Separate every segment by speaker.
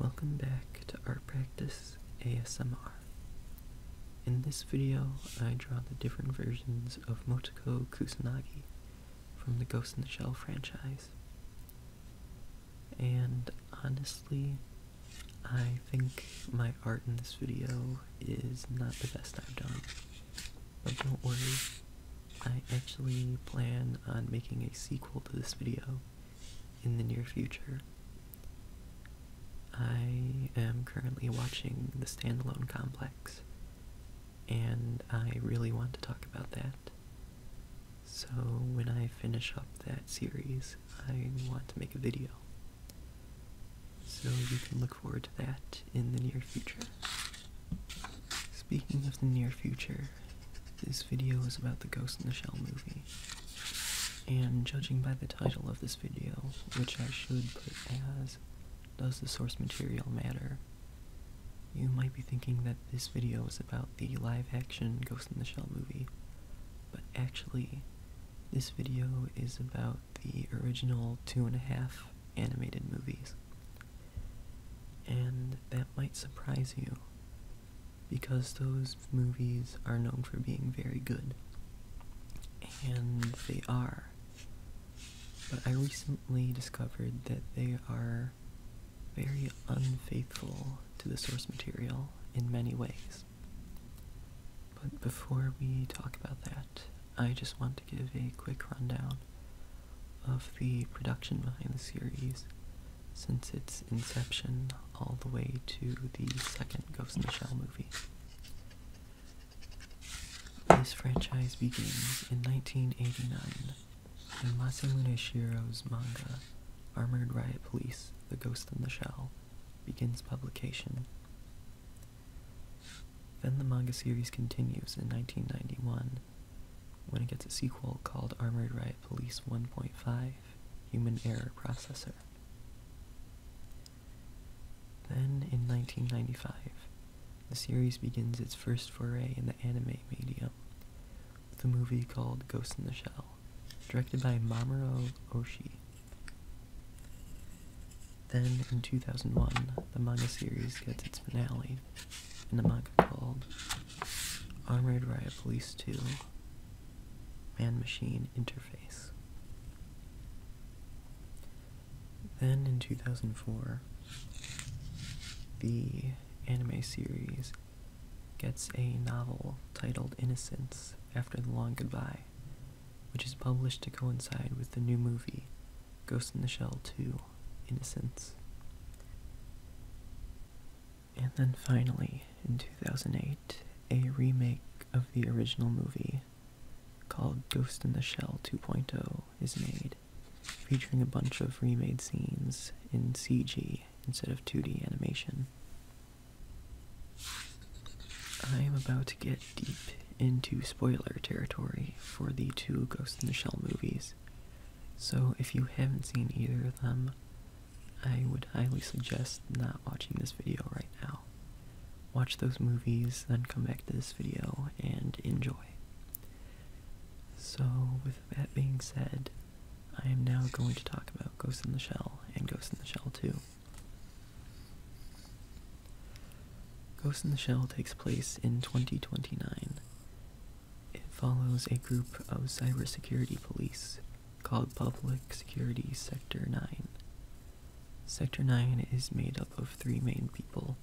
Speaker 1: Welcome back to Art Practice ASMR. In this video, I draw the different versions of Motoko Kusanagi from the Ghost in the Shell franchise. And honestly, I think my art in this video is not the best I've done. But don't worry, I actually plan on making a sequel to this video in the near future. I am currently watching the standalone complex and I really want to talk about that. So when I finish up that series, I want to make a video. So you can look forward to that in the near future. Speaking of the near future, this video is about the Ghost in the Shell movie. And judging by the title of this video, which I should put as does the source material matter? You might be thinking that this video is about the live action Ghost in the Shell movie, but actually, this video is about the original two and a half animated movies. And that might surprise you, because those movies are known for being very good. And they are. But I recently discovered that they are very unfaithful to the source material in many ways. But before we talk about that, I just want to give a quick rundown of the production behind the series since its inception all the way to the second Ghost in movie. This franchise begins in 1989 when Masamune Shiro's manga, Armored Riot Police, The Ghost in the Shell, begins publication. Then the manga series continues in 1991 when it gets a sequel called Armored Riot Police 1.5 Human Error Processor. Then in 1995, the series begins its first foray in the anime medium with a movie called Ghost in the Shell, directed by Mamoru Oshii. Then, in 2001, the manga series gets its finale in a manga called Armored Riot Police 2 Man Machine Interface. Then in 2004, the anime series gets a novel titled Innocence After the Long Goodbye, which is published to coincide with the new movie Ghost in the Shell 2 Innocence. And then finally, in 2008, a remake of the original movie called Ghost in the Shell 2.0 is made, featuring a bunch of remade scenes in CG instead of 2D animation. I am about to get deep into spoiler territory for the two Ghost in the Shell movies, so if you haven't seen either of them, I would highly suggest not watching this video right now watch those movies, then come back to this video and enjoy. So, with that being said, I am now going to talk about Ghost in the Shell and Ghost in the Shell 2. Ghost in the Shell takes place in 2029. It follows a group of cyber security police called Public Security Sector 9. Sector 9 is made up of three main people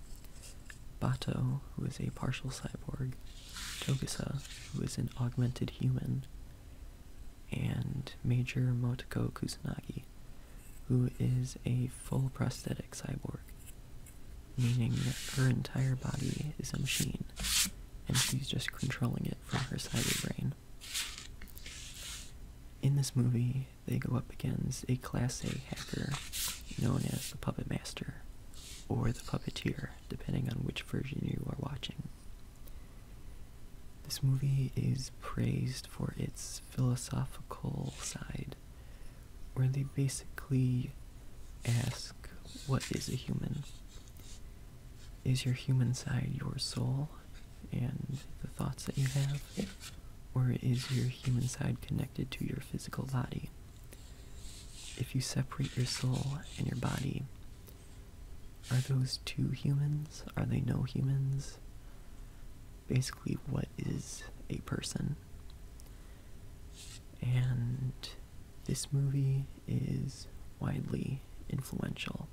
Speaker 1: Bato, who is a partial cyborg, Togasa, who is an augmented human, and Major Motoko Kusanagi, who is a full prosthetic cyborg, meaning her entire body is a machine, and she's just controlling it from her cyber brain. In this movie, they go up against a Class A hacker known as the Puppet Master or the Puppeteer, depending on which version you are watching. This movie is praised for its philosophical side, where they basically ask, What is a human? Is your human side your soul and the thoughts that you have? or is your human side connected to your physical body? If you separate your soul and your body, are those two humans? Are they no humans? Basically, what is a person? And this movie is widely influential.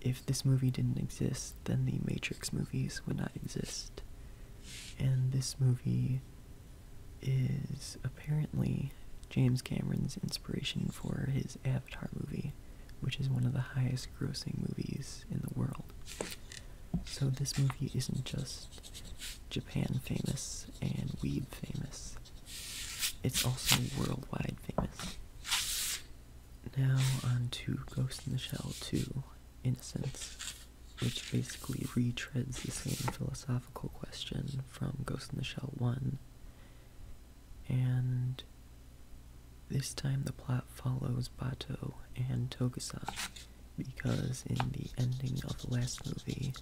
Speaker 1: If this movie didn't exist, then the Matrix movies would not exist. And this movie is apparently James Cameron's inspiration for his Avatar movie, which is one of the highest grossing movies in the world. So this movie isn't just Japan famous and weeb famous, it's also worldwide famous. Now on to Ghost in the Shell 2. Innocence, which basically retreads the same philosophical question from Ghost in the Shell 1. And this time the plot follows Bato and Togusa, because in the ending of the last movie,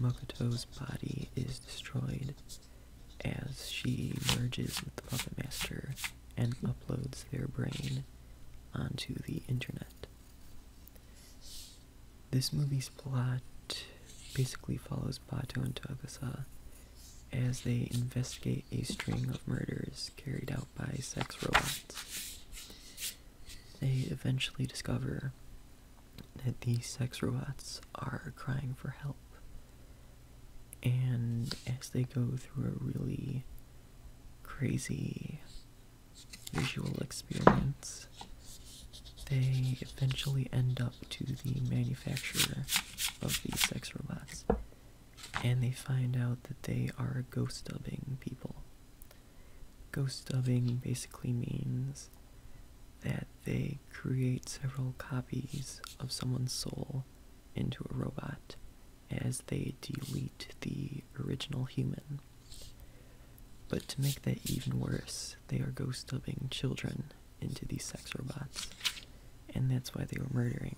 Speaker 1: Mokoto's body is destroyed as she merges with the Puppet Master and uploads their brain onto the internet. This movie's plot basically follows Bato and Tagasa as they investigate a string of murders carried out by sex robots. They eventually discover that these sex robots are crying for help. And as they go through a really crazy visual experience, they eventually end up to the manufacturer of these sex robots and they find out that they are ghost dubbing people. Ghost dubbing basically means that they create several copies of someone's soul into a robot as they delete the original human. But to make that even worse, they are ghost dubbing children into these sex robots. And that's why they were murdering,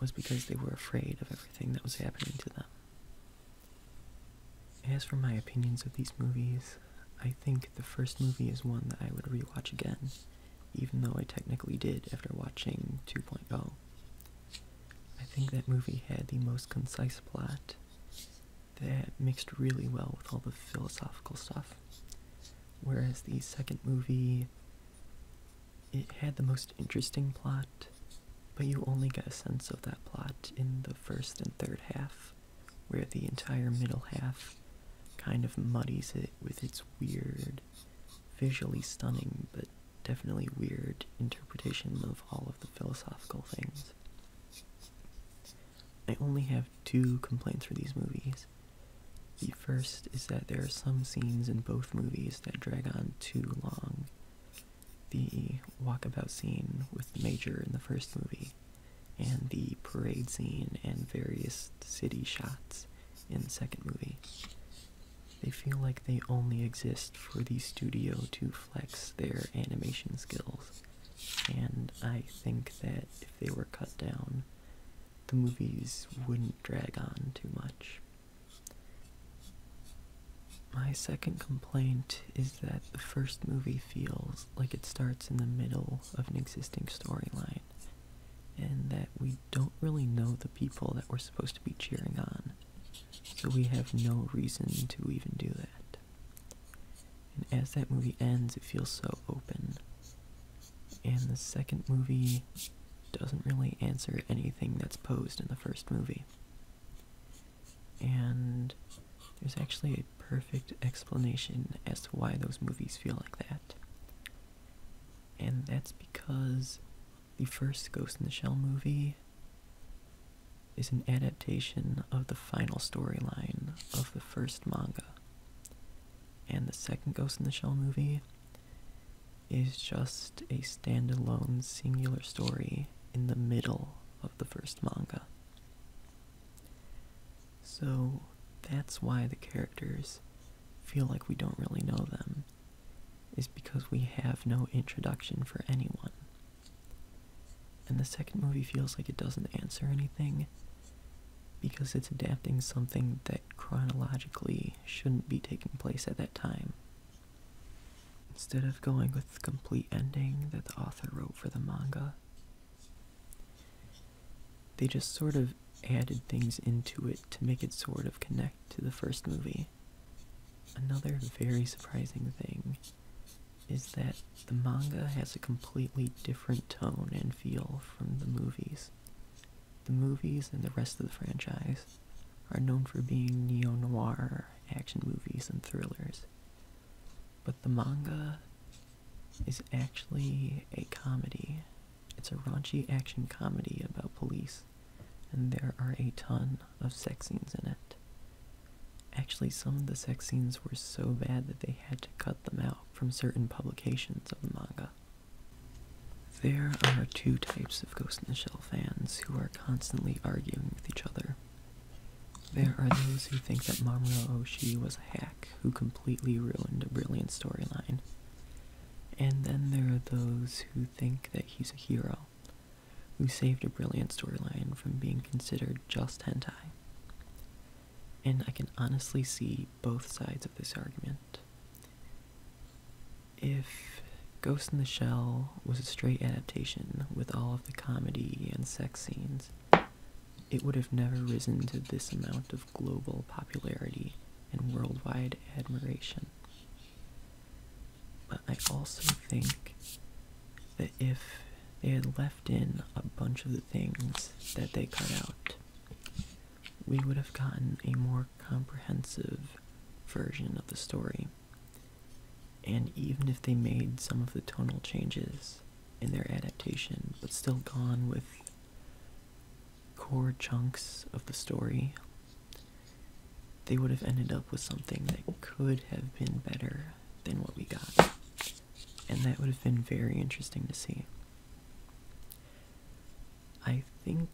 Speaker 1: was because they were afraid of everything that was happening to them. As for my opinions of these movies, I think the first movie is one that I would rewatch again, even though I technically did after watching 2.0. I think that movie had the most concise plot that mixed really well with all the philosophical stuff. Whereas the second movie, it had the most interesting plot, but you only get a sense of that plot in the first and third half, where the entire middle half kind of muddies it with its weird, visually stunning, but definitely weird interpretation of all of the philosophical things. I only have two complaints for these movies. The first is that there are some scenes in both movies that drag on too long. The walkabout scene with the Major in the first movie, and the parade scene and various city shots in the second movie. They feel like they only exist for the studio to flex their animation skills. And I think that if they were cut down, the movies wouldn't drag on too much. My second complaint is that the first movie feels like it starts in the middle of an existing storyline, and that we don't really know the people that we're supposed to be cheering on, so we have no reason to even do that. And as that movie ends, it feels so open. And the second movie doesn't really answer anything that's posed in the first movie. And there's actually a perfect explanation as to why those movies feel like that. And that's because the first Ghost in the Shell movie is an adaptation of the final storyline of the first manga. And the second Ghost in the Shell movie is just a standalone singular story in the middle of the first manga. So that's why the characters feel like we don't really know them is because we have no introduction for anyone. And the second movie feels like it doesn't answer anything because it's adapting something that chronologically shouldn't be taking place at that time. Instead of going with the complete ending that the author wrote for the manga, they just sort of added things into it to make it sort of connect to the first movie. Another very surprising thing is that the manga has a completely different tone and feel from the movies. The movies and the rest of the franchise are known for being neo-noir action movies and thrillers. But the manga is actually a comedy it's a raunchy action comedy about police, and there are a ton of sex scenes in it. Actually, some of the sex scenes were so bad that they had to cut them out from certain publications of the manga. There are two types of Ghost in the Shell fans who are constantly arguing with each other. There are those who think that Mamoru Oshii was a hack who completely ruined a brilliant storyline, and then there are those who think that he's a hero, who saved a brilliant storyline from being considered just hentai. And I can honestly see both sides of this argument. If Ghost in the Shell was a straight adaptation with all of the comedy and sex scenes, it would have never risen to this amount of global popularity and worldwide admiration. But I also think that if they had left in a bunch of the things that they cut out, we would have gotten a more comprehensive version of the story. And even if they made some of the tonal changes in their adaptation, but still gone with core chunks of the story, they would have ended up with something that could have been better than what we got. And that would have been very interesting to see. I think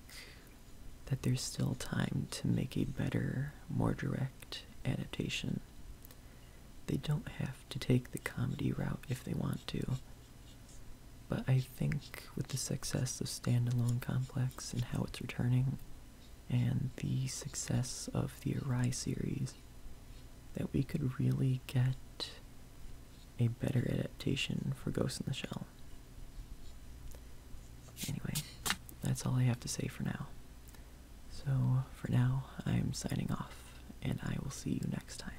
Speaker 1: that there's still time to make a better, more direct adaptation. They don't have to take the comedy route if they want to. But I think with the success of Standalone Complex and how it's returning, and the success of the Arai series, that we could really get a better adaptation for Ghost in the Shell. Anyway, that's all I have to say for now. So, for now, I'm signing off, and I will see you next time.